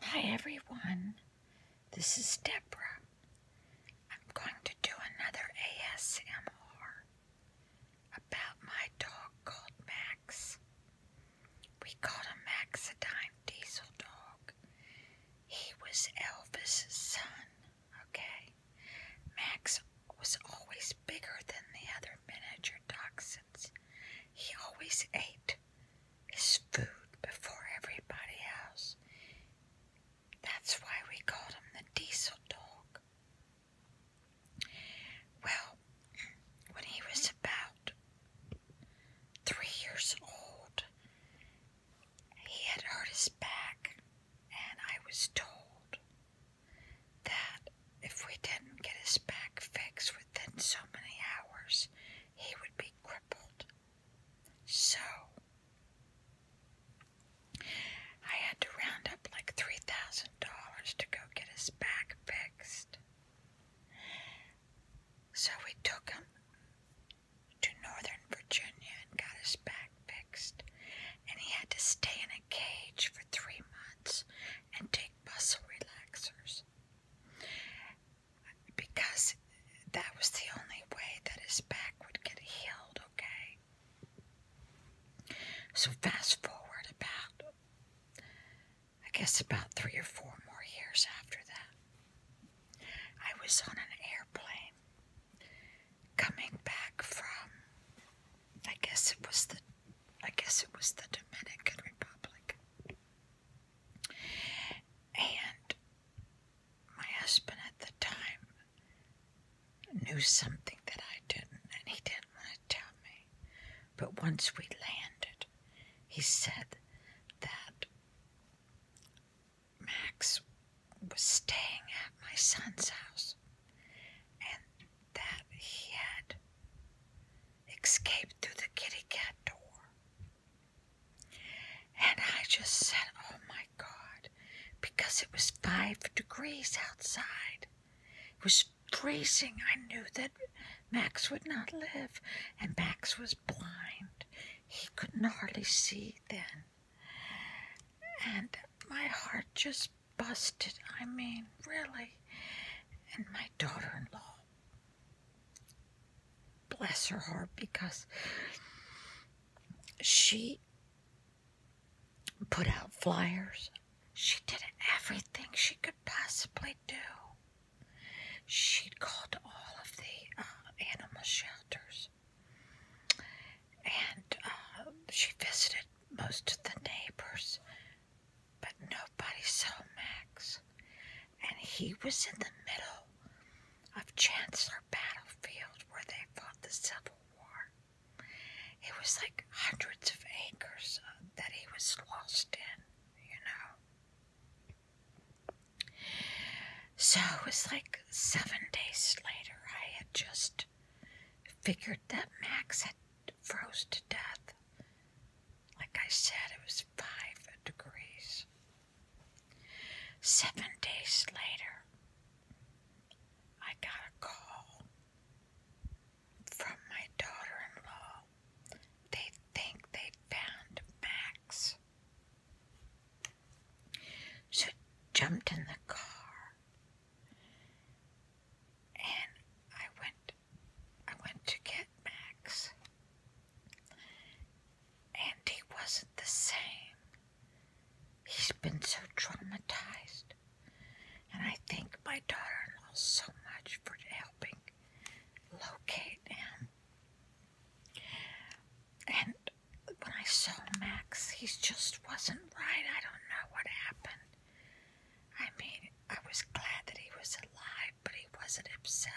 Hi everyone, this is Debra. I'm going to do another ASMR about my dog called Max. We called him Max a dime diesel dog. He was Elvis's son, okay? Max was always bigger than the other miniature dachshunds. He always ate his food before everybody else. That's why we called him the diesel dog. Well, when he was about three years old, he had hurt his back, and I was told that if we didn't get his back fixed, within so many hours he would be crippled. So, I had to round up like $3,000 to go get his back fixed. So, we took him to Northern Virginia and got his back fixed. And he had to stay in a cage for three months and take muscle relaxers because that was the only way that his back would get healed, okay? So, fast forward about, I guess, about three or four more years after that, I was on an airplane coming back from, I guess it was the I guess it was the Dominican Republic. And my husband at the time knew something that I didn't, and he didn't want to tell me. But once we landed, he said that Max was staying at my son's house and that he had escaped through the kitty cat door. And I just said, Oh my God, because it was five degrees outside. It was freezing. I knew that Max would not live, and Max was blind. He couldn't hardly see then. And my heart just busted. I mean, really. And my daughter in law bless her heart because she put out flyers. She did everything she could possibly do. She called all of the uh, animal shelters and uh, she visited most of the neighbors but nobody saw Max, and he was in the middle of Chancellor Battlefield where they fought the Civil War. It was like hundreds of acres uh, that he was lost in, you know. So it was like seven days later, I had just figured that Max had froze to death. Like I said, it was five degrees. Seven days later, I got a call from my daughter in law. They think they found Max. So jumped in the car and I went I went to get Max, and he wasn't the same. He's been so traumatized, and I thank my daughter-in-law so much for helping locate him. And when I saw Max, he just wasn't right. I don't know what happened. I mean, I was glad that he was alive but he wasn't himself.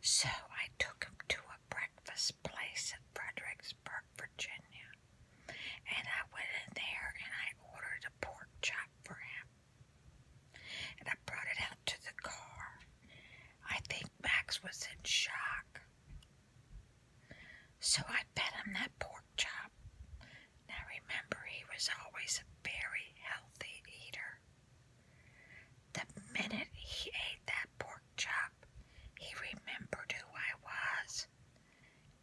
So I took him to a breakfast place in Fredericksburg, Virginia, and I went in there and I ordered a pork chop for him. And I brought it out to the car. I think Max was in shock. So I fed him that pork chop now remember, he was always a very healthy eater. The minute he ate that pork chop, he remembered who I was.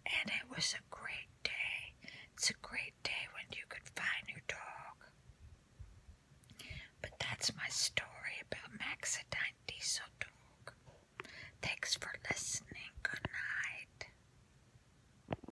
And it was a great day. It's a great day when you could find your dog. But that's my story about Maxidine Diesel Dog. Thanks for listening. Good night.